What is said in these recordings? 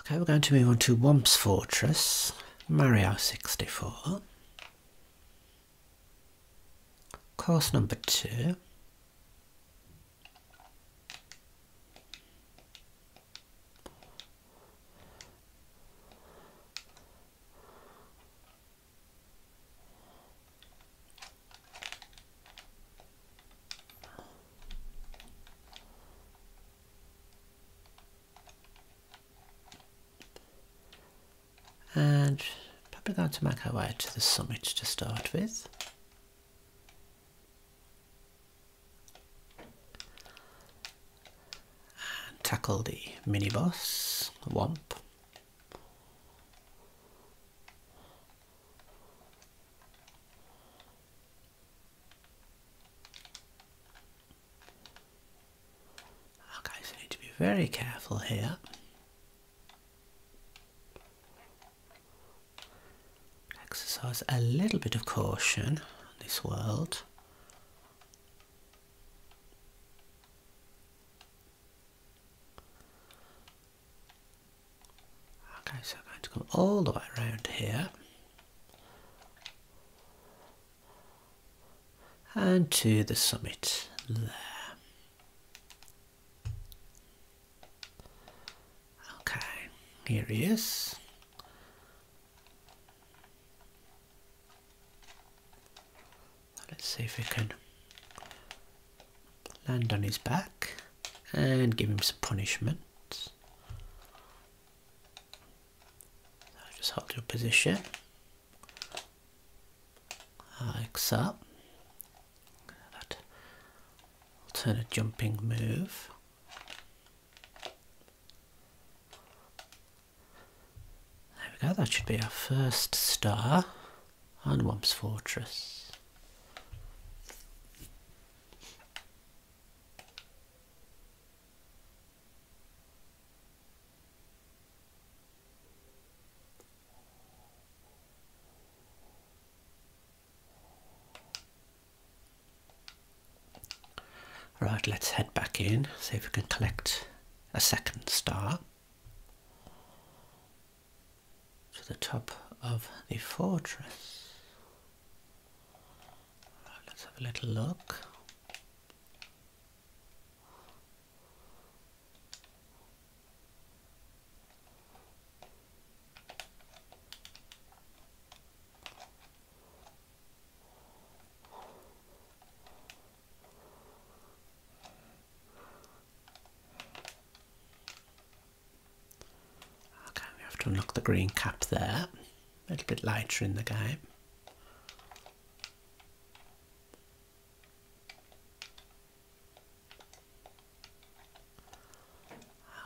Okay, we're going to move on to Womp's Fortress, Mario 64. Course number two. And probably going to make our way to the summit to start with. And tackle the minibus, boss, Womp. Okay, so you need to be very careful here. Exercise a little bit of caution in this world. Okay, so I'm going to come all the way around here and to the summit there. Okay, here he is. Let's see if we can land on his back and give him some punishment. So just hold your position like so. That a jumping move. There we go, that should be our first star on Wump's Fortress. Right, let's head back in, see if we can collect a second star to the top of the fortress let's have a little look. Okay, we have to unlock the green cap there. A little bit later in the game.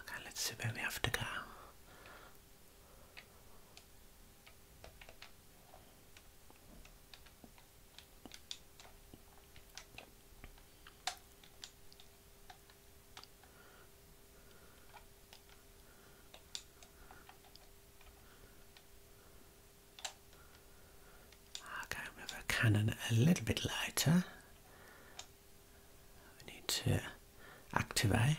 Okay, let's see where we have to go i with a cannon a little bit lighter. We need to activate.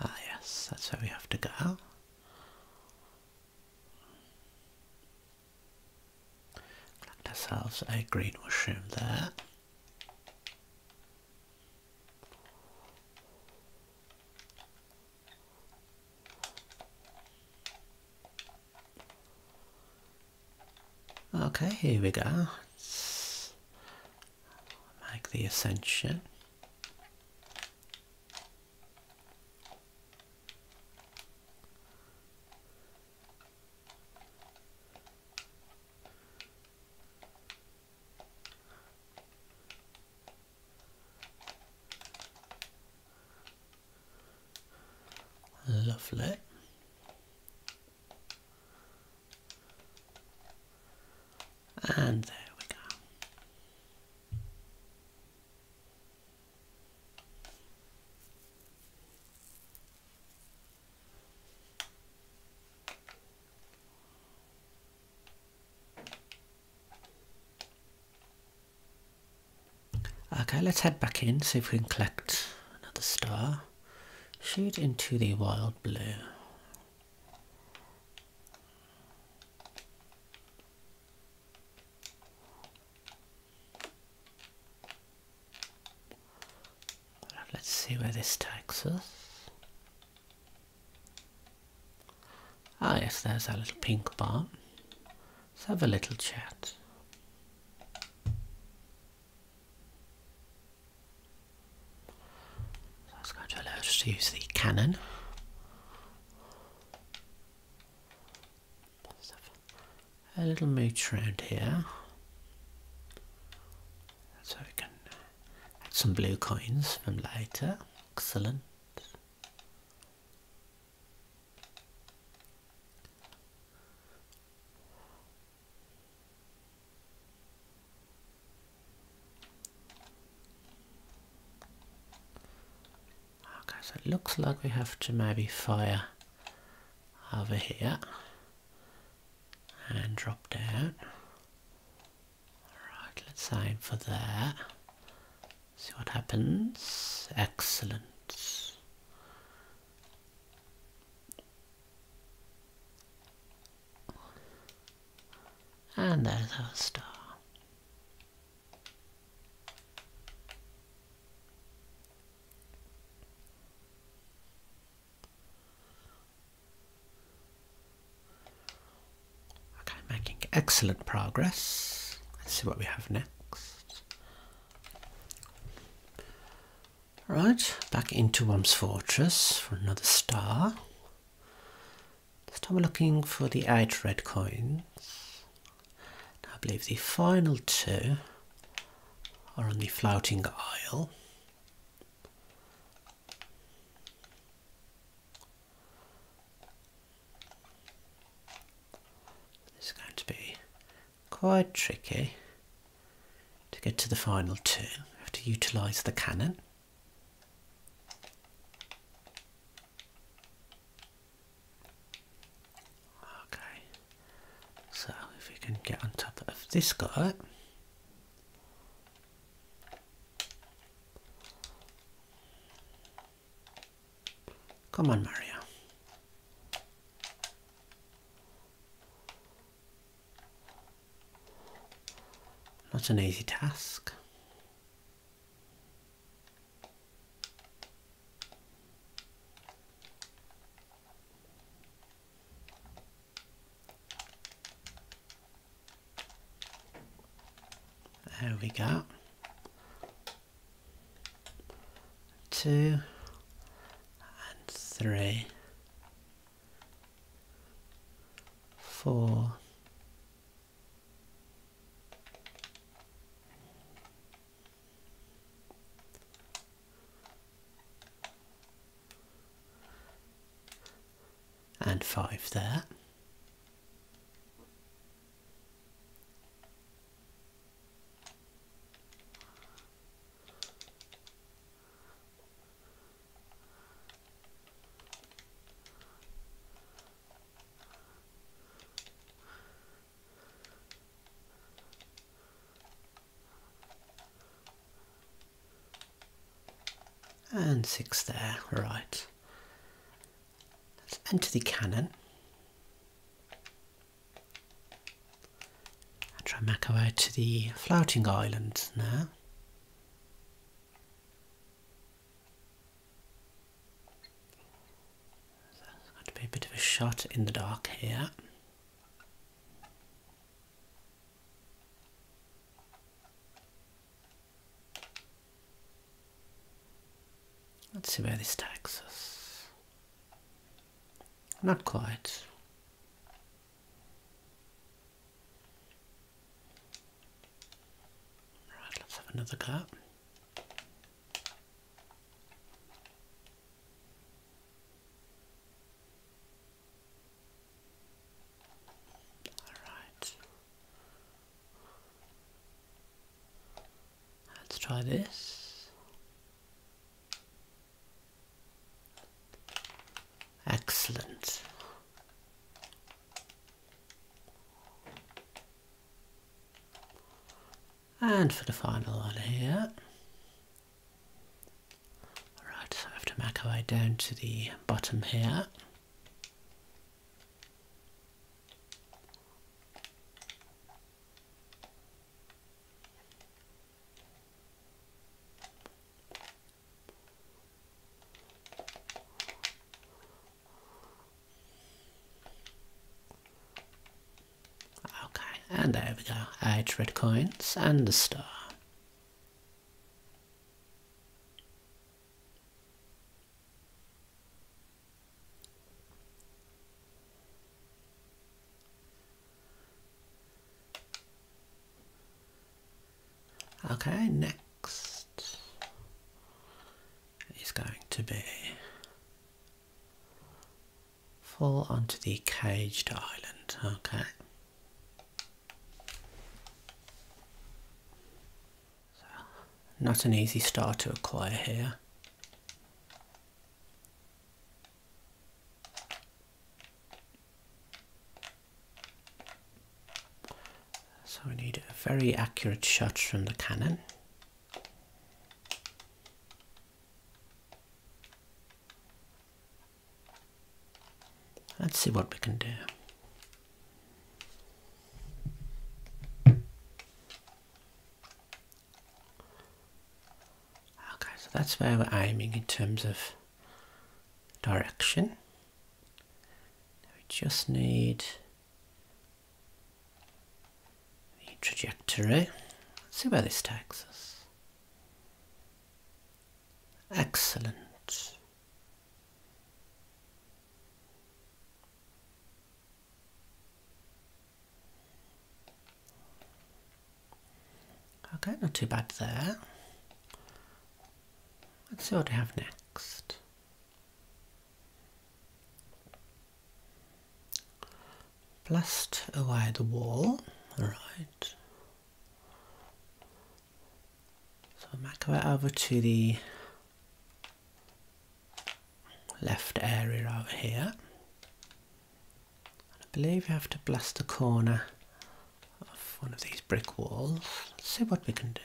Ah yes, that's where we have to go. Collect ourselves a green mushroom there. Okay, here we go. make the ascension. Lovely. And there we go. Okay, let's head back in, see if we can collect another star. Shoot into the wild blue. Let's see where this takes us. Ah yes, there's our little pink bar. Let's have a little chat. So that's going to allow us to use the cannon. a little move around here. So we can add some blue coins from later. Excellent. Okay, so it looks like we have to maybe fire over here and drop down. Alright, let's aim for there. See what happens. Excellent. And there's our star. Okay, making excellent progress. Let's see what we have next. Right, back into Worm's Fortress for another star. This time looking for the eight red coins. I believe the final two are on the floating isle. This is going to be quite tricky. To get to the final two, have to utilise the cannon. Okay, so if we can get on top of this guy. Come on, Maria. Not an easy task. There we go. Two and three four, and five there and six there, right. Let's enter the cannon i try and way to the floating island now. that there's going to be a bit of a shot in the dark here. Let's see where this takes us. Not quite. Right, let's have another go. Alright. Let's try this. Excellent. And for the final one here. Right, so I have to make our way down to the bottom here. Okay, and there we go. Eight red coins and the star. Okay, next is going to be fall onto the caged island. Okay. not an easy start to acquire here. So we need a very accurate shot from the cannon. Let's see what we can do. Okay, so that's where we're aiming in terms of direction. we just need the trajectory. see where this takes us. Excellent. Okay, not too bad there. Let's see what we have next. Blast away the wall, alright. So we'll make our way over to the left area over here. I believe we have to blast the corner of one of these brick walls. Let's see what we can do.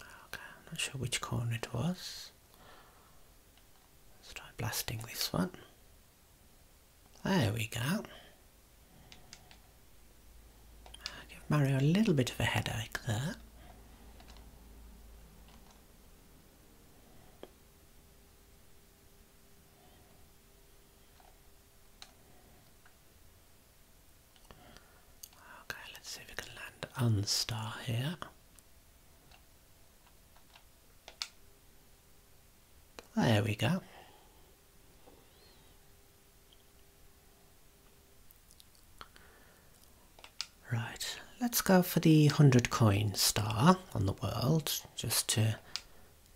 Okay, I'm not sure which corner it was. Let's try blasting this one. There we go give Mario a little bit of a headache there. Okay, let's see if we can land Unstar here. There we go. Right, let's go for the 100 coin star on the world, just to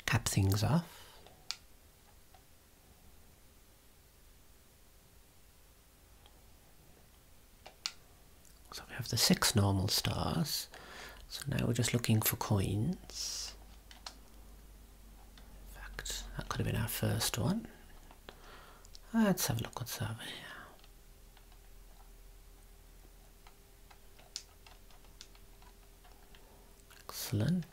cap things off. So we have the six normal stars. So now we're just looking for coins. In fact, that could have been our first one. Let's have a look what's over here. Excellent.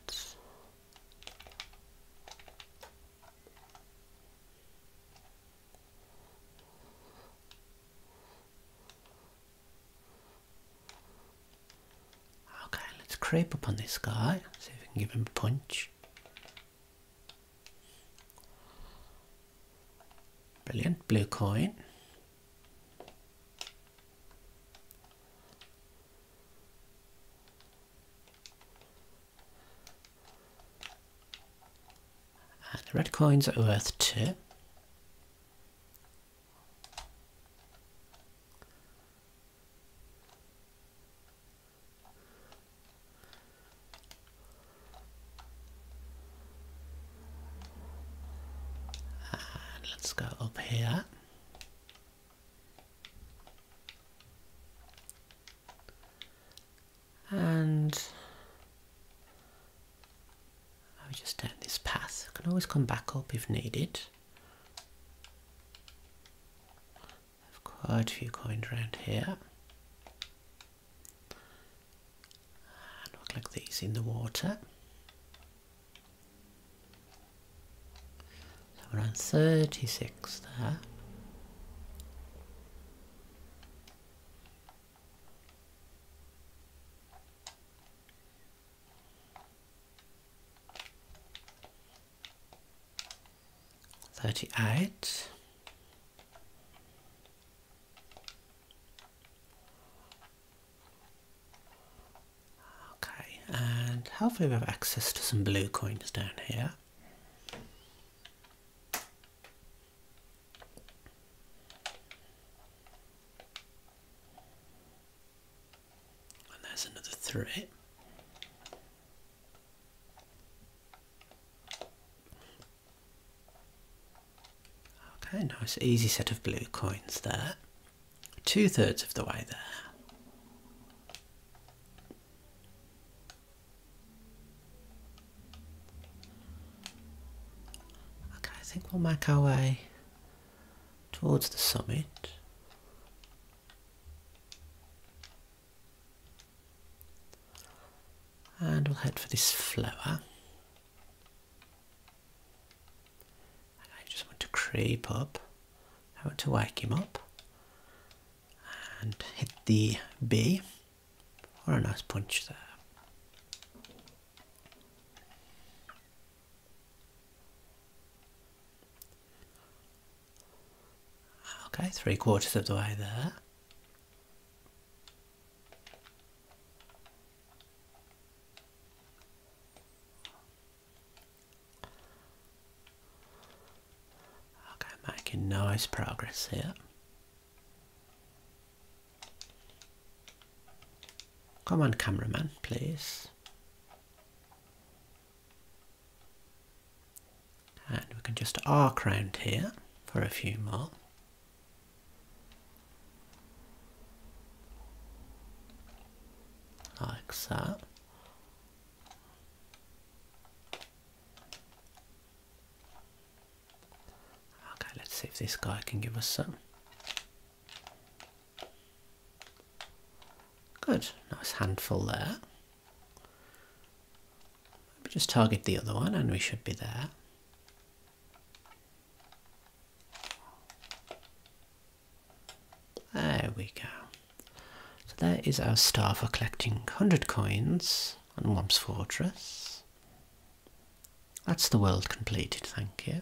Okay, let's creep up on this guy, see if we can give him a punch. Brilliant, blue coin. And the red coins are worth two let's go up here. And I'll just turn this path. can always come back up if needed have quite a few coins around here. Look like these in the water. So around 36 there. 38 okay and hopefully we have access to some blue coins down here and there's another three Okay, nice easy set of blue coins there. Two thirds of the way there. Okay, I think we'll make our way towards the summit and we'll head for this flower I just want to creep up I want to wake him up and hit the B what a nice punch there Okay, three quarters of the way there. Okay, making nice progress here. Come on, cameraman, please and we can just arc round here for a few more. Like that. Okay, let's see if this guy can give us some. Good, nice handful there. Maybe just target the other one and we should be there. There we go. So there is our star for collecting 100 coins on Wump's Fortress. That's the world completed, thank you.